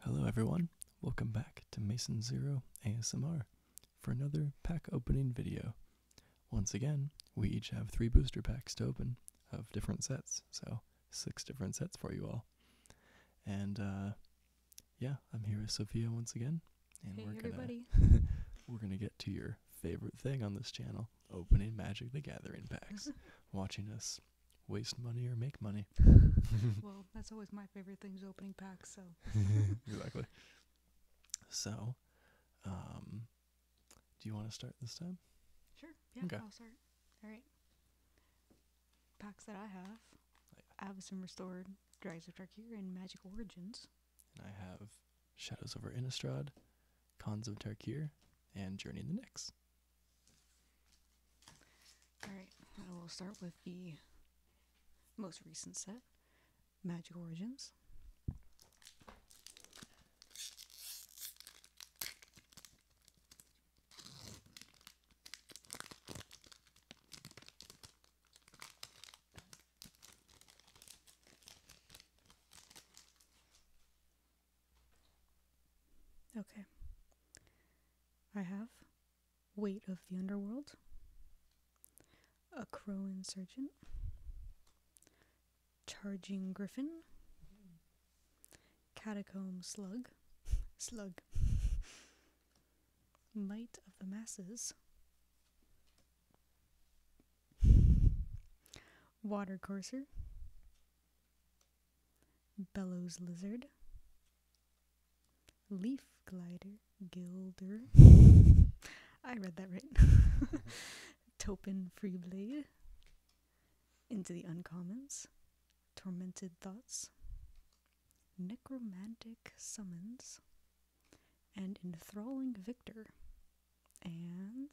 Hello everyone, welcome back to Mason Zero ASMR for another pack opening video. Once again, we each have three booster packs to open of different sets, so six different sets for you all. And uh, yeah, I'm here with Sophia once again, and we're gonna we're gonna get to your favorite thing on this channel: opening Magic the Gathering packs, watching us waste money or make money. well, that's always my favorite thing is opening packs. So exactly. So, um, do you want to start this time? Sure. Yeah, okay. I'll start. All right packs that I have. I have some restored Dragons of Tarkir and Magic Origins. And I have Shadows over Innistrad, Cons of Tarkir, and Journey in the Nix. Alright, I will start with the most recent set, Magic Origins. Okay. I have Weight of the Underworld, A Crow Insurgent, Charging Griffin, Catacomb Slug, Slug, might of the masses. Water courser. Bellows lizard. Leaf glider. Gilder. I read that right. Topin Freeblade. Into the uncommons. Tormented thoughts. Necromantic Summons, and Enthralling Victor, and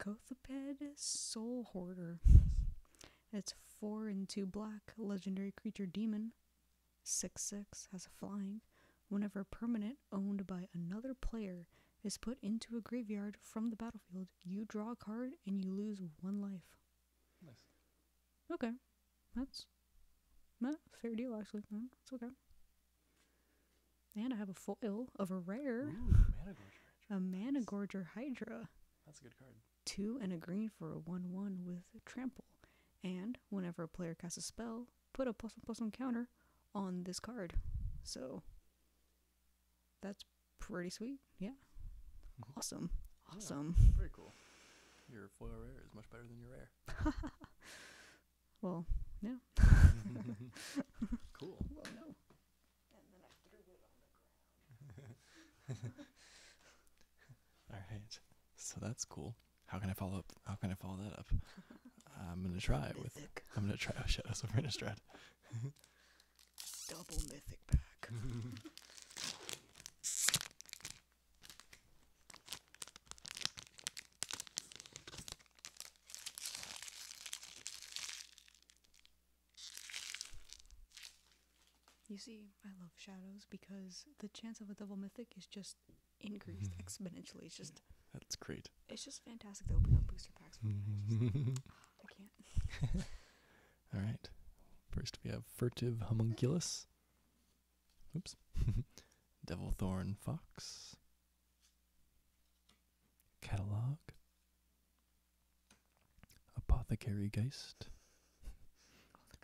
Kothaped Soul Hoarder. It's 4 and 2 black, legendary creature demon. 6 6 has a flying. Whenever a permanent owned by another player is put into a graveyard from the battlefield, you draw a card and you lose one life. Okay. That's not fair deal, actually. No, it's okay. And I have a foil of a rare. Ooh, Manigorger. a Hydra. That's a good card. Two and a green for a 1 1 with trample. And whenever a player casts a spell, put a plus one plus one counter on this card. So that's pretty sweet. Yeah. Mm-hmm. Awesome. Awesome. Very cool. Your foil rare is much better than your rare. well, yeah. cool. Well, no. All right. So that's cool. How can I follow up? How can I follow that up? I'm gonna try it with. I'm gonna try Shadows of Innistrad. Double mythic pack. You see, I love shadows because the chance of a double mythic is just increased exponentially. It's just that's great. It's just fantastic to open up booster packs. right. First we have furtive homunculus. Oops. Devil thorn fox. Catalog. Apothecary Geist. Oh,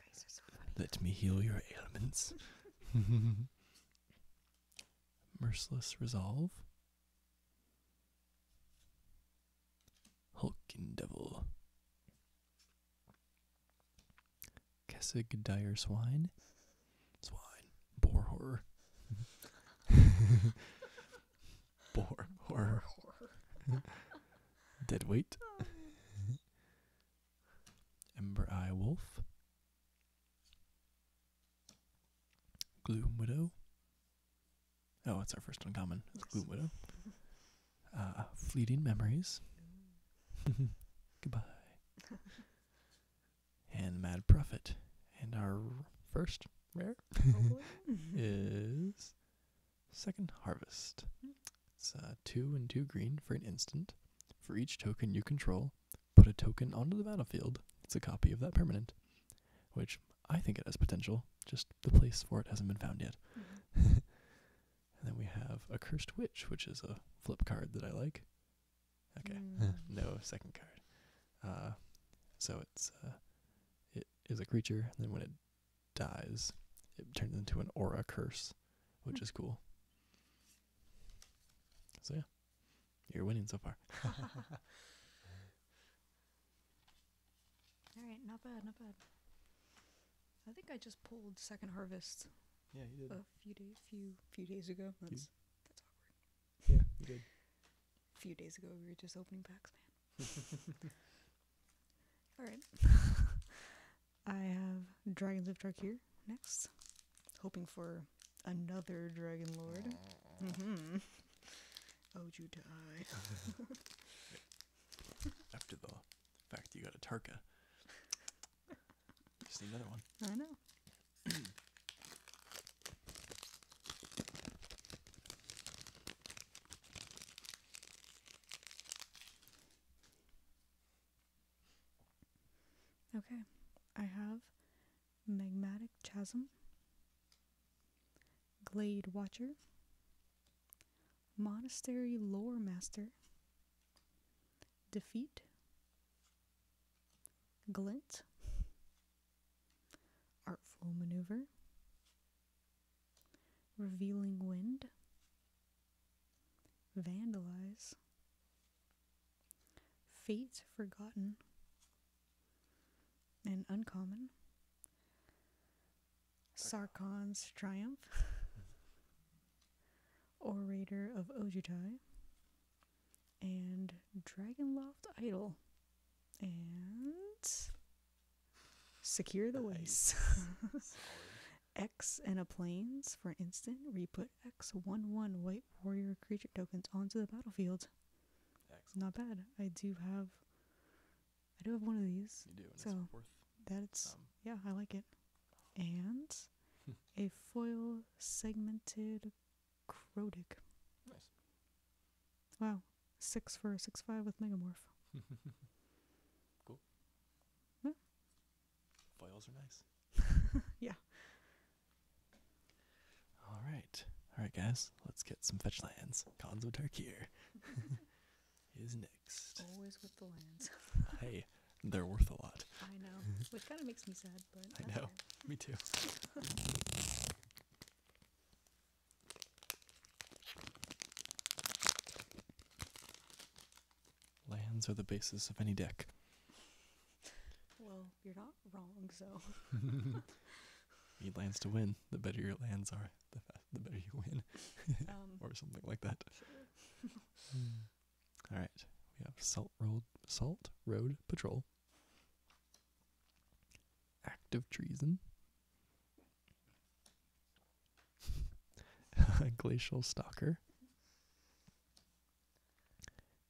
Let me heal your ailments. Merciless Resolve. Hulkin Devil. Kessig Dire Swine. Swine. Boar Horror. Boar Horror. Dead Weight. Ember Eye Wolf. Gloom Widow. Oh, it's our first uncommon. It's Gloom Widow. Uh, fleeting memories. Goodbye. and Mad Prophet. And our first rare is Second Harvest. Hmm. It's uh, two and two green for an instant. For each token you control, Put a token onto the battlefield. It's a copy of that permanent, which I think it has potential. Just the place for it hasn't been found yet. Mm-hmm. and then we have a cursed witch, which is a flip card that I like. Okay, mm. no second card. Uh, so it's uh, it is a creature. And then when it dies, it turns into an aura curse, which hmm. is cool. So yeah, you're winning so far. All right, not bad, not bad. I think I just pulled Second Harvest. Yeah, you did. A few days, few few days ago. That's that's awkward. Yeah, you did. A few days ago, we were just opening packs, man. All right. I have Dragons of here next, hoping for another Dragon Lord. Mm-hmm. Oh, you die. After the fact, you got a Tarka. Just need another one. I know. okay, I have Magmatic Chasm, Glade Watcher, Monastery Lore Master, Defeat, Glint, Artful Maneuver, Revealing Wind, Vandalize, Fate Forgotten and Uncommon. Sarkon's Triumph. Orator of Ojutai. And Dragonloft Idol. And Secure the nice. Waste. X and a Planes for instant. Replay put X11 white warrior creature tokens onto the battlefield. Excellent. Not bad. I do have I do have one of these. You do, so that's um, yeah, I like it. And a foil segmented Crotic. Nice. Wow. Six for six five with Megamorph. cool. Foils are nice. yeah. All right. All right, guys. Let's get some fetch lands. Cons of Tarkir is next. Always with the lands. hey, they're worth a lot. I know, which kind of makes me sad, but I know. Me too. Lands are the basis of any deck. Well, you're not wrong, so. Need lands to win. The better your lands are, the better you win, um, or something like that. All right, we have Salt Road Salt Road Patrol, Act of Treason, Glacial Stalker,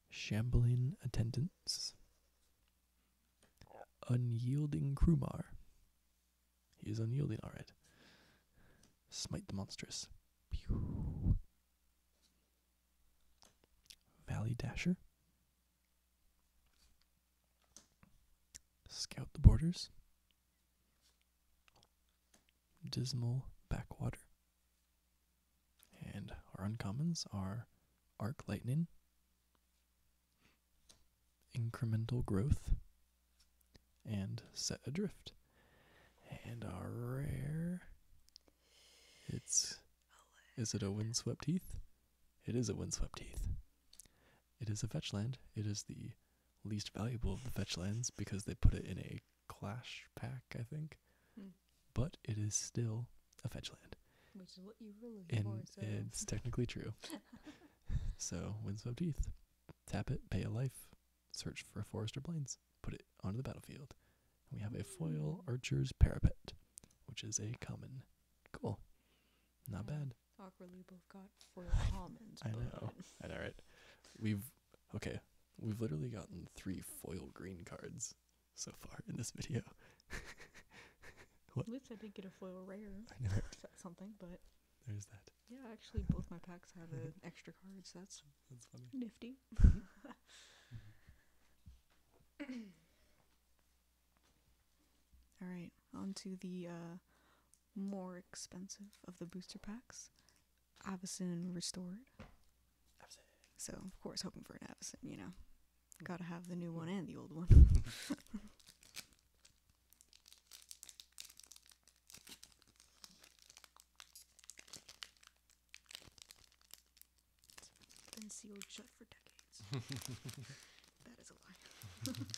Shambling attendants. Unyielding Krumar. He is unyielding, alright. Smite the monstrous. Pew. Valley Dasher. Scout the borders. Dismal Backwater. And our uncommons are Arc Lightning, Incremental Growth, and Set Adrift. And our rare. It's. Is it a windswept heath? It is a windswept heath. It is a fetch land. It is the least valuable of the fetch lands because they put it in a Clash pack, I think. Hmm. But it is still a fetch land. Which is what you really and for, so. It's technically true. so, winds Windswept Teeth. Tap it, pay a life, search for a forest or plains, put it onto the battlefield. And we have a foil hmm. archer's parapet, which is a common. Cool. Not hmm. bad. Awkwardly both got foil commons. I know. I know, it. We've okay, we've literally gotten three foil green cards so far in this video. At least I did get a foil rare. I know. something, but there's that. Yeah, actually, both my packs had extra cards. that's that's funny. Nifty. Mm-hmm. All right, on to the uh, more expensive of the booster packs. Avison restored. Avison. So of course, hoping for an Avison, you know, mm-hmm. gotta have the new one mm-hmm. and the old one. Been sealed shut for decades. that is a lie.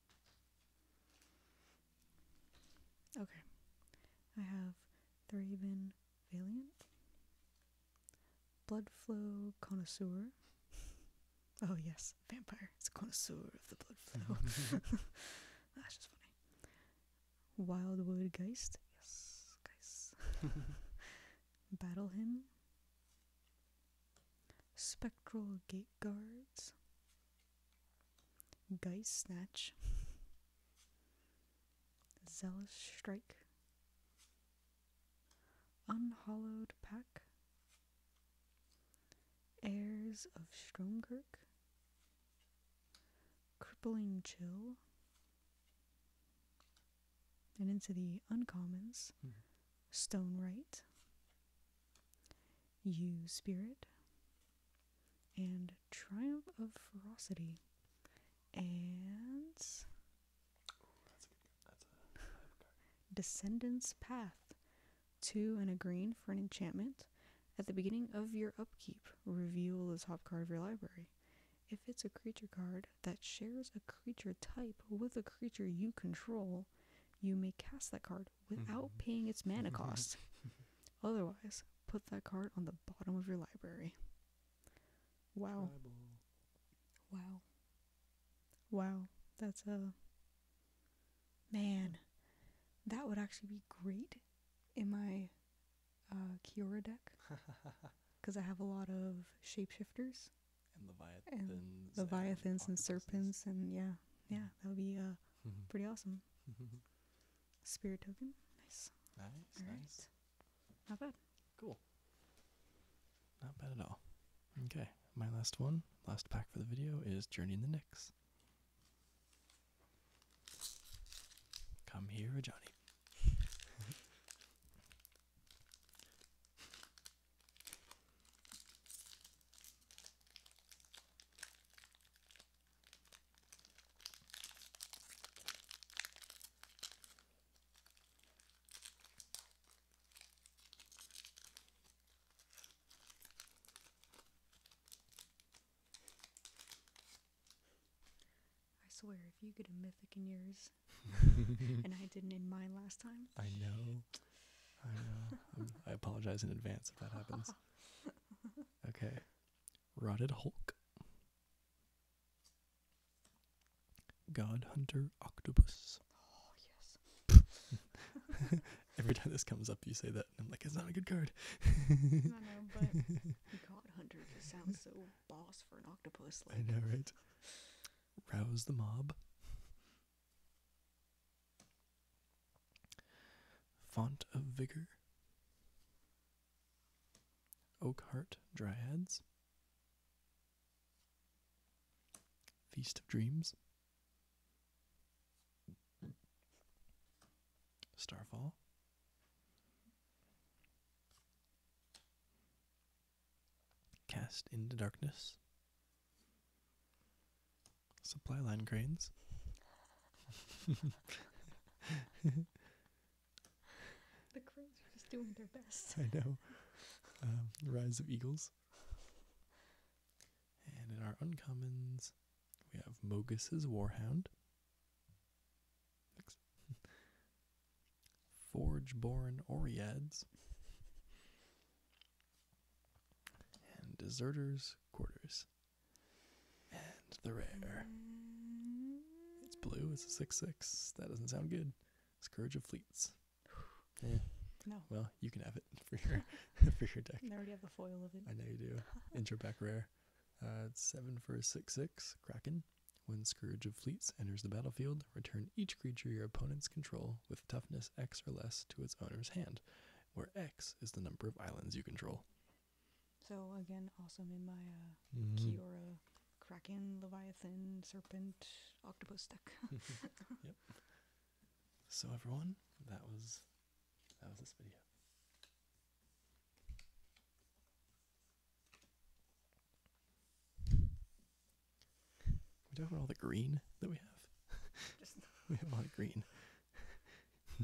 Okay. I have the Raven Valiant, Blood Flow Connoisseur. oh, yes, Vampire. It's a connoisseur of the blood flow. That's just funny. Wildwood Geist. Yes, Geist. Battle Hymn. Spectral Gate Guards. Geist Snatch, Zealous Strike, unhallowed Pack, Heirs of Stromkirk, Crippling Chill, and into the uncommons, mm Stone Right, you Spirit, and Triumph of Ferocity, and Descendant's Path. Two and a green for an enchantment. At the beginning of your upkeep, reveal the top card of your library. If it's a creature card that shares a creature type with a creature you control, you may cast that card without mm-hmm. paying its mana mm-hmm. cost. Otherwise, put that card on the bottom of your library. Wow. Wow. Wow. That's a. Man. That would actually be great in my uh, Kiora deck. Because I have a lot of shapeshifters. And Leviathans. and serpents, and yeah yeah, that would be uh, mm-hmm. pretty awesome. Mm-hmm. Spirit token, nice. Nice, nice. Not bad. Cool. Not bad at all. Okay, my last one, last pack for the video is Journey in the Nix. Come here, Johnny. I swear, if you get a mythic in yours, and I didn't in mine last time, I know. I apologize in advance if that happens. Okay. Rotted Hulk. God Hunter Octopus. Oh, yes. Every time this comes up, you say that, and I'm like, it's not a good card. I know, but God Hunter sounds so boss for an octopus. I know, right? Rouse the Mob. Font of Vigor, Oak Heart Dryads, Feast of Dreams, Starfall. Cast into darkness. Supply line grains. the cranes are just doing their best. I know. Um, the rise of eagles. And in our uncommons, we have Mogus's Warhound. Forge-born Oreads, and Deserters' Quarters. And the rare. It's blue. It's a six-six. That doesn't sound good. Scourge of Fleets. Yeah. No. Well, you can have it for your for your deck. I already have the foil of it. I know you do. Intro back rare. Uh, seven for a six-six. Kraken. When Scourge of Fleets enters the battlefield, return each creature your opponents control with toughness X or less to its owner's hand, where X is the number of islands you control. So again, awesome in my uh, mm-hmm. Kraken, Leviathan, Serpent, Octopus deck. yep. So everyone, that was that was this video we talking about all the green that we have? we have a lot of green.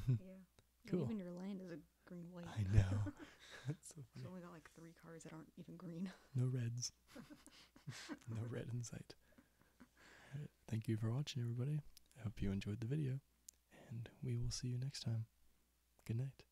yeah. Even your land is a green light. I know. That's so funny. It's only got like three cards that aren't even green. No reds. no red in sight. Thank you for watching, everybody. I hope you enjoyed the video, and we will see you next time. Good night.